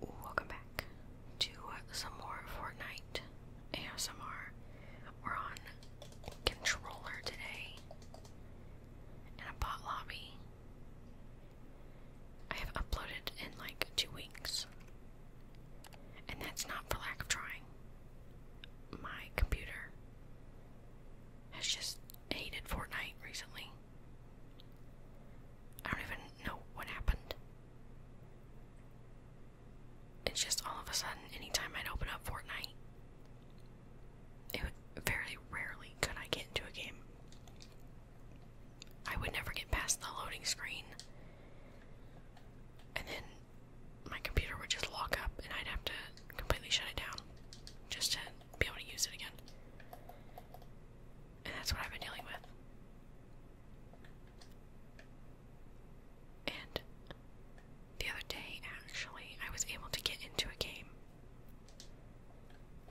Welcome back to some more Fortnite ASMR. We're on controller today in a bot lobby. I have uploaded in like two weeks, and that's not for lack of trying. My computer has just hated Fortnite recently. I don't even know what happened. It's just all of a sudden, anytime I'd open up Fortnite, it would very rarely could I get into a game. I would never get past the loading screen, and then my computer would just lock up, and I'd have to completely shut it down just to be able to use it again. And that's what I've been dealing with. And the other day, actually, I was able to get into a game.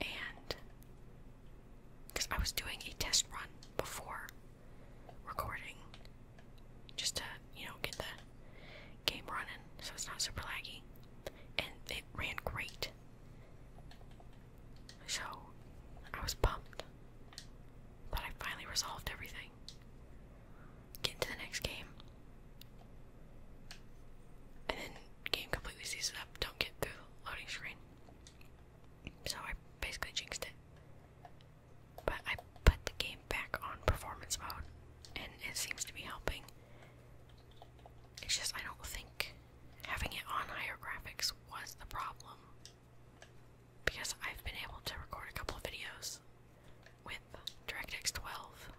And because I was doing a test run before recording, just to, you know, get the game running so it's not super laggy. And it ran great. So I was pumped that I finally resolved everything. Get into the next game. And then game completely seizes up, don't get through loading screen. So I basically jinxed it. But I put the game back on performance mode and it seems to be helping. It's just I don't think having it on higher graphics was the problem because I've been able to record a couple of videos with DirectX 12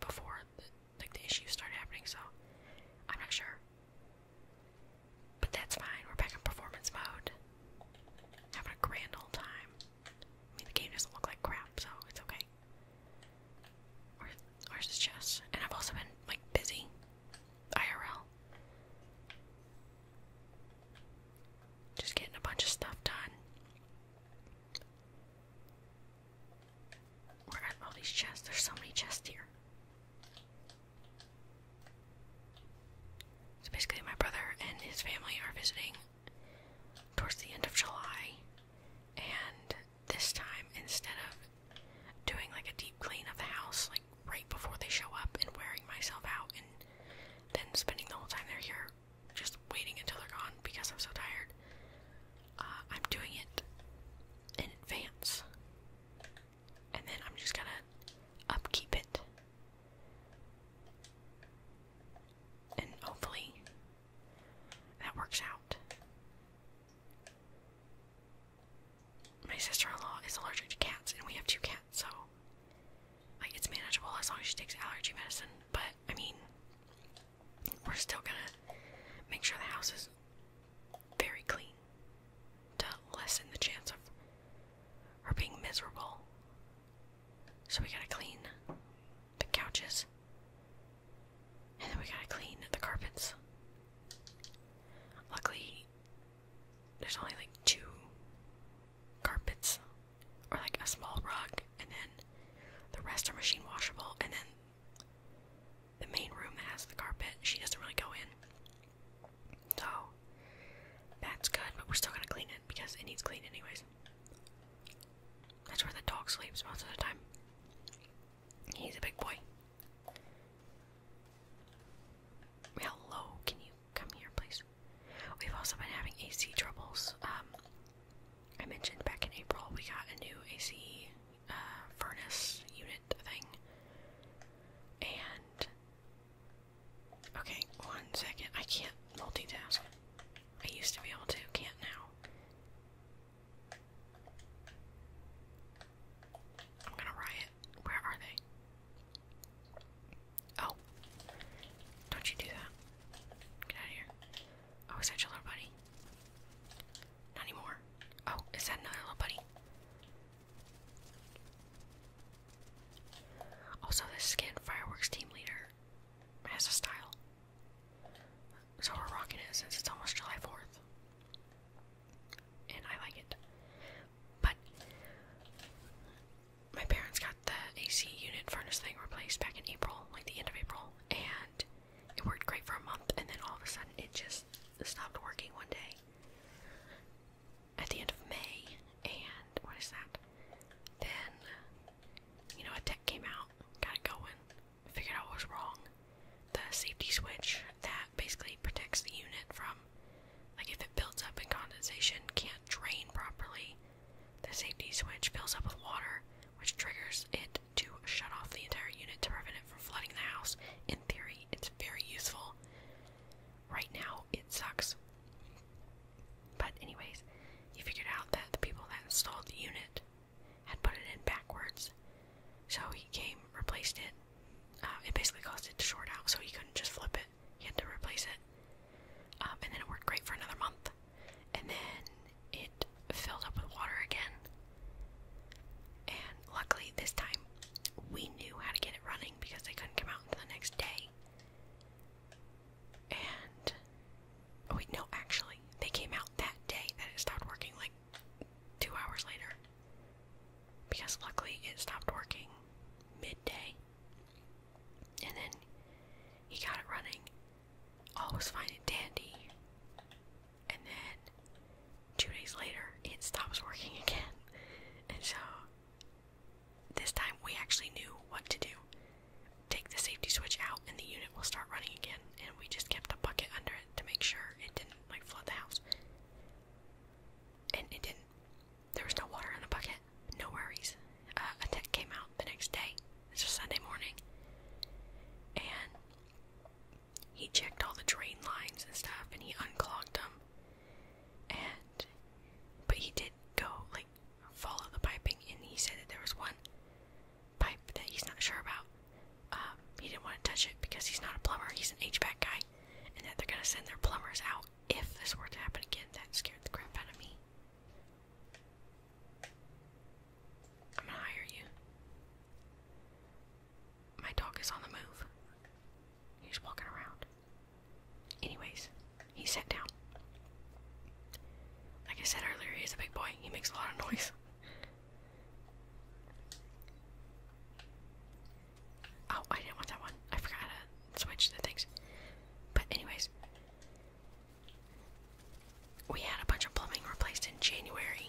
before the, like the issue started happening, so I'm not sure. But that's fine. We're back in performance mode, having a grand old time. I mean, the game doesn't look like crap, so it's okay. Ours is chess. And I've also been like busy. IRL. Just getting a bunch of stuff done. Where are all these chests? There's so many chests here. So basically, my brother and his family are visiting towards the end of July, and this time, instead of doing like a deep clean of the house, like right before they show up and wearing myself out, and then spending the whole time they're here just waiting until they're gone because I'm so tired, uh, I'm doing it in advance. And then I'm just gonna upkeep it. And hopefully that works out my sister-in-law is allergic to cats, and we have two cats, so like it's manageable as long as she takes allergy medicine. But I mean, we're still gonna make sure the house is very clean to lessen the chance of her being miserable. So we gotta clean the couches. And then we gotta clean the carpets. Luckily, there's only like two carpets, or like a small rug, and then the rest are machine washable, and then the main room has the carpet, she doesn't really go in. So, that's good, but we're still gonna clean it because it needs cleaned anyways. That's where the dog sleeps most of the time. He's a big boy. Hello, can you come here, please? We've also been having AC troubles. Um, I mentioned back in April we got a new AC uh, furnace unit thing. And. Okay, one second. I can't multitask. I used to be able to, can't now. I'm gonna riot. Where are they? Oh. Don't you do that. Get out of here. Oh, is that your little buddy? Not anymore. Oh, is that another little buddy? Also, this skin, Fireworks Team Leader, has a style. So we're rocking it since it's almost July 4th and I like it. But my parents got the AC unit furnace thing replaced back in April, like the end of April, and it worked great for a month, and then all of a sudden it just stopped working one day at the end of May. And what is that? Then, you know, a tech came out, got it going, figured out what was wrong. The safety switch that basically protects the unit from, like, if it builds up in condensation can't drain properly, the safety switch fills up with water, which triggers it to shut off the entire unit to prevent it from flooding the house. In theory, it's very useful. Right now, it sucks. But, anyways, he figured out that the people that installed the unit had put it in backwards. So he came, replaced it. Uh, it basically caused it to short out, so he couldn't just flip it. He had to replace it. Um, and then it worked great for another month. And then it filled up with water again. And luckily, this time we knew how to get it running because they couldn't come out until the next day. And. Oh, wait, no, actually, they came out that day that it stopped working, like two hours later because luckily it stopped working midday. And then he got it running. All was fine and dandy. And then two days later, it stops working again. And so this time we actually knew what to do. Take the safety switch out, and the unit will start running again. And we just kept a bucket under it to make sure it didn't like flood the house. And it didn't. There was no water in the bucket. No worries. Uh, a tech came out the next day. It's a Sunday morning. And he checked all the drain lines and stuff and he unclogged them. And but he did go like follow the piping and he said that there was one pipe that he's not sure about. Um, he didn't want to touch it because he's not a plumber, he's an HVAC guy, and that they're gonna send their plumbers out if this were to happen again. That scared the crap out of me. I'm gonna hire you. My dog is on the move. He's walking around. Anyways, he sat down. Like I said earlier, he's a big boy. He makes a lot of noise. Oh, I didn't want that one. I forgot to switch the things. But anyways, we had a bunch of plumbing replaced in January.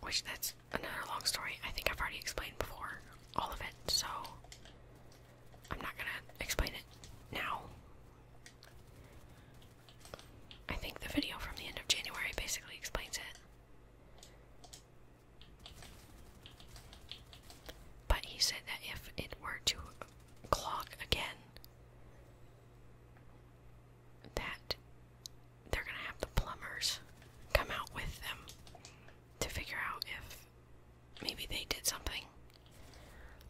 Which that's another long story. I think I've already explained before all of it, so I'm not gonna explain it now. I think the video from the end of January basically explains it. But he said that if it were to clog again, that they're gonna have the plumbers come out with them to figure out if maybe they did something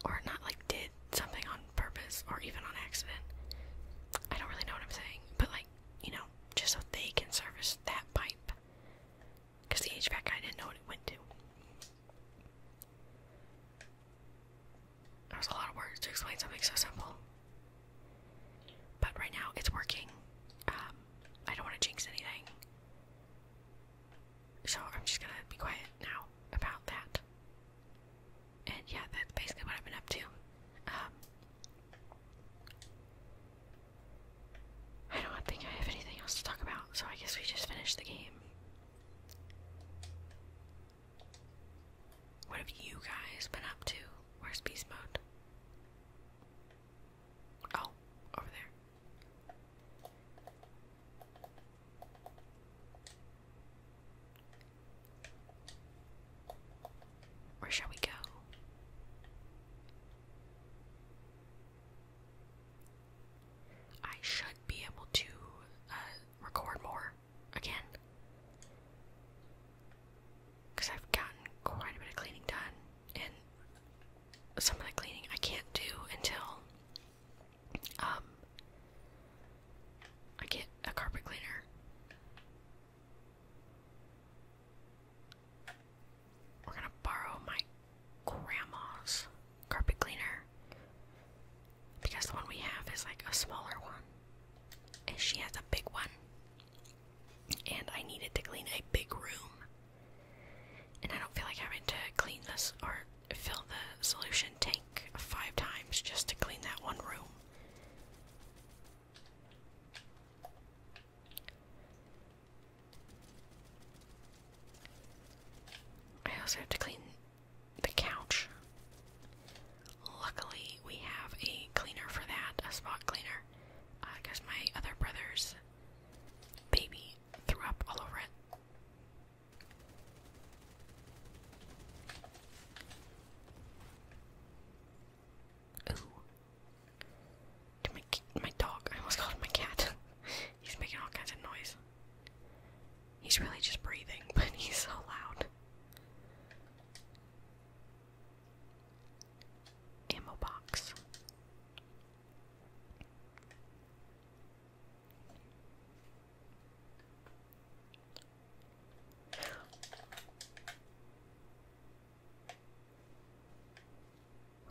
or not like did something on purpose or even on accident. I don't really know what I'm saying, but like, you know, just so they can service that pipe. Because the HVAC guy didn't know what it went to. There was a lot of words to explain something so simple. But right now, it's working. Um, I don't want to jinx anything. So I'm just gonna be quiet now about that. And yeah, that's basically what I've been up to. Um, I don't think I have anything else to talk about, so I guess we just finished the game. What have you guys been up to? Where's peace mode? Oh, over there. Where shall we go? I should be able to uh, record more again. Because I've gotten quite a bit of cleaning done, and some of the cleaning I can't do until um, I get a carpet cleaner. We're gonna borrow my grandma's carpet cleaner because the one we have is like a smaller one, and she has a big one. And I needed to clean a big room, and I don't feel like having to clean this or fill the solution tank five times just to clean that one room. I also have to clean the couch. Luckily, we have a cleaner for that, a spot cleaner. Uh, my other brother's baby threw up all over it. Ooh. my, my dog. I almost called my cat. he's making all kinds of noise. He's really just breathing, but he's so loud. Ammo box.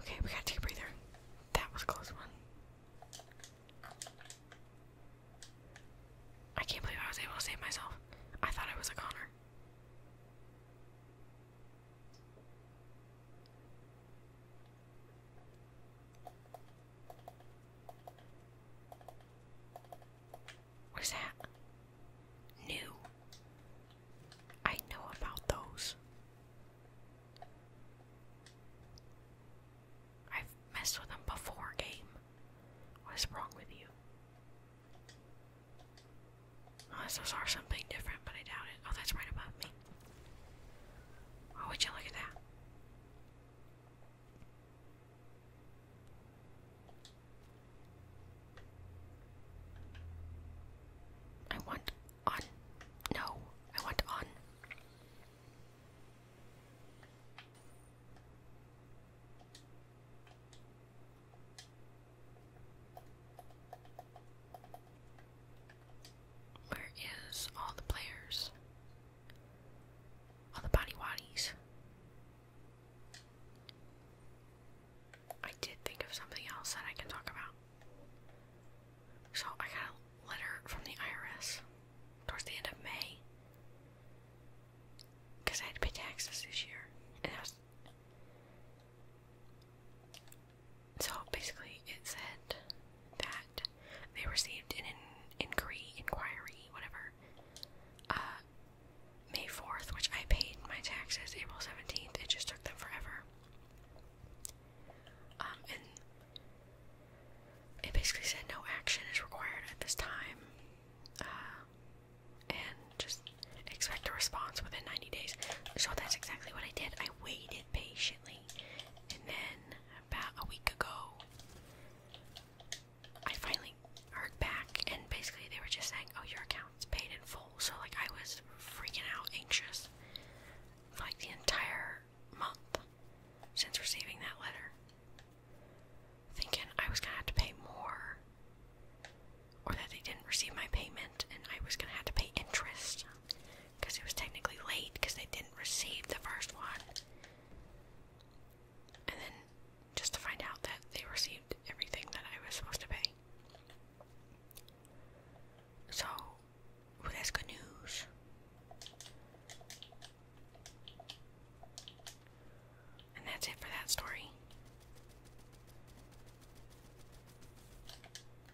Okay, we gotta take a breather. That was close one. I can't believe I was able to save myself. I thought I was a conner. What is that? New. I know about those. I've messed with them before, game. What is wrong with you? Unless those are something different, but I doubt it. Oh, that's right above me. Oh, would you look at that? I want on. No, I want on. Where is all the players? on the body waddies. I did think of something else that I can talk about. So I got a letter from the IRS towards the end of May because I had to pay taxes this year, So basically, it said that they received an inquiry, inquiry, whatever, uh, May 4th, which I paid my taxes April 17th. It just took them forever. Um, and it basically said no action is required at this time. Uh, and just expect a response within 90 days. So that's exactly what I did. I waited patiently. And then about a week ago. I finally heard back, and basically they were just saying, "Oh, your account's paid in full." So like I was freaking out, anxious, for, like the entire month since receiving that letter, thinking I was gonna have to pay more, or that they didn't receive my payment and I was gonna have to pay interest because it was technically late because they didn't receive the first one. And then just to find out that they received everything that I was supposed to pay. So, that's good news. And that's it for that story.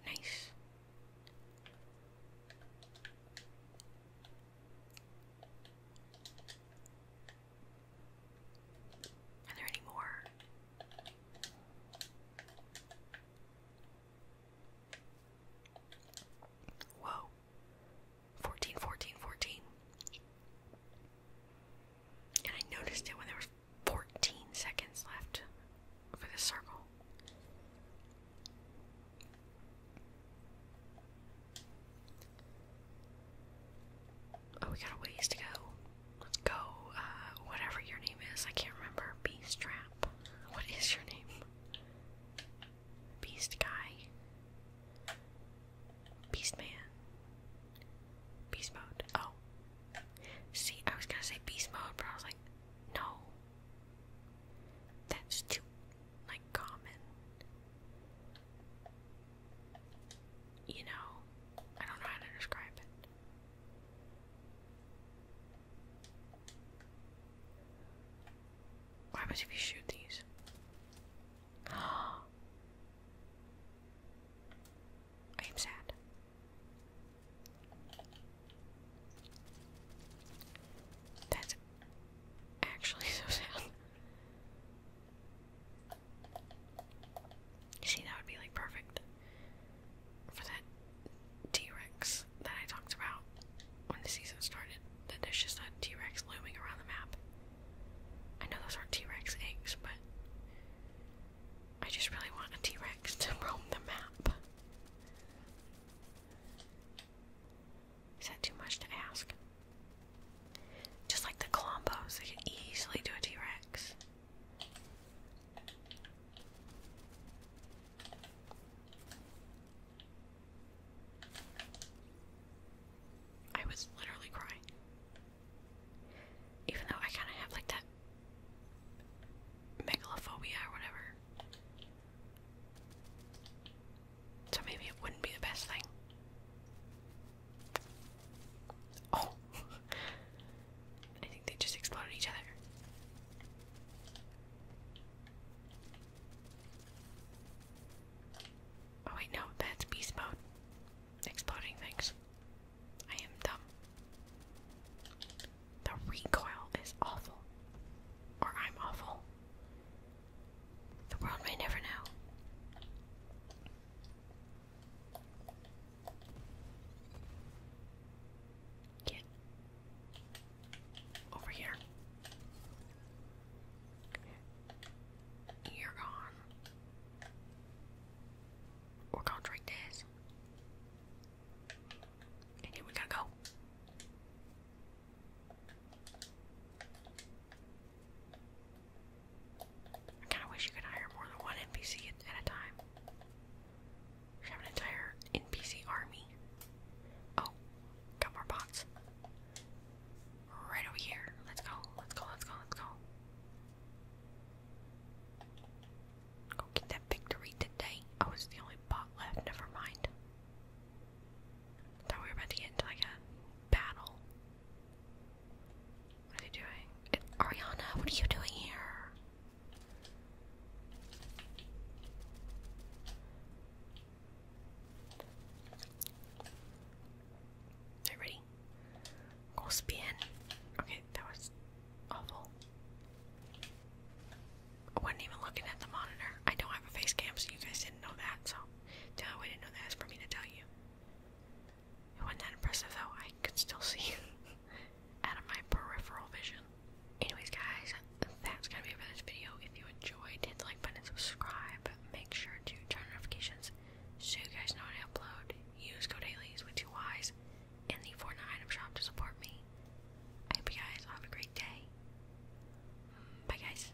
Nice. Are there any more? Whoa. Fourteen, fourteen, fourteen. And I noticed it when there was 14 seconds left for this circle. Oh, we got a ways to go. Let's go, uh, whatever your name is. I can't remember. Beast Trap. What is your name? Beast Guy. Beast Man. Beast Mode. Oh. See, I was gonna say Beast Mode, but I was like, no. That's too, like, common. You know, I don't know how to describe it. What happens you shoot these? I am sad. That's actually so sad. See, that would be like perfect for that T Rex that I talked about when the season started. That there's just a T Rex looming around the map. I know those aren't T Rex eggs, but I just really want a T Rex to roam the map. Is that too much to ask? Just like the Colombos, they can easily do a T Rex. I was literally crying. Even though I kind of have like that megalophobia or whatever. So maybe it wouldn't be the best thing. Oh! I think they just exploded each other. Oh wait, no, that's beast mode. Exploding things. I am dumb. The recoil is awful. Or I'm awful. The world may never know. Get over here. You're gone. We're gonna drink this here we go. I kinda wish you could hire more than one NPC at, a time. We have an entire NPC army. Oh, got more bots. Right over here. Let's go, let's go, let's go, let's go. Go get that victory today. Oh, it's the only bot left. Never mind. thought we were about to get like a battle. What are you doing? Ariana, what are you doing here? Are you ready? Go spin. Okay, that was awful. I wasn't even looking at the monitor. I don't have a face cam, so you guys didn't know that, so the we didn't know that is for me to tell you. It wasn't that impressive, though. I could still see out of my peripheral vision. Anyways, guys, that's gonna be it for this video. If you enjoyed, hit the like button and subscribe. Make sure to turn on notifications so you guys know when I upload. Use code GoDailies with two Y's in the Fortnite item shop to support me. I hope you guys have a great day. Mm, bye, guys.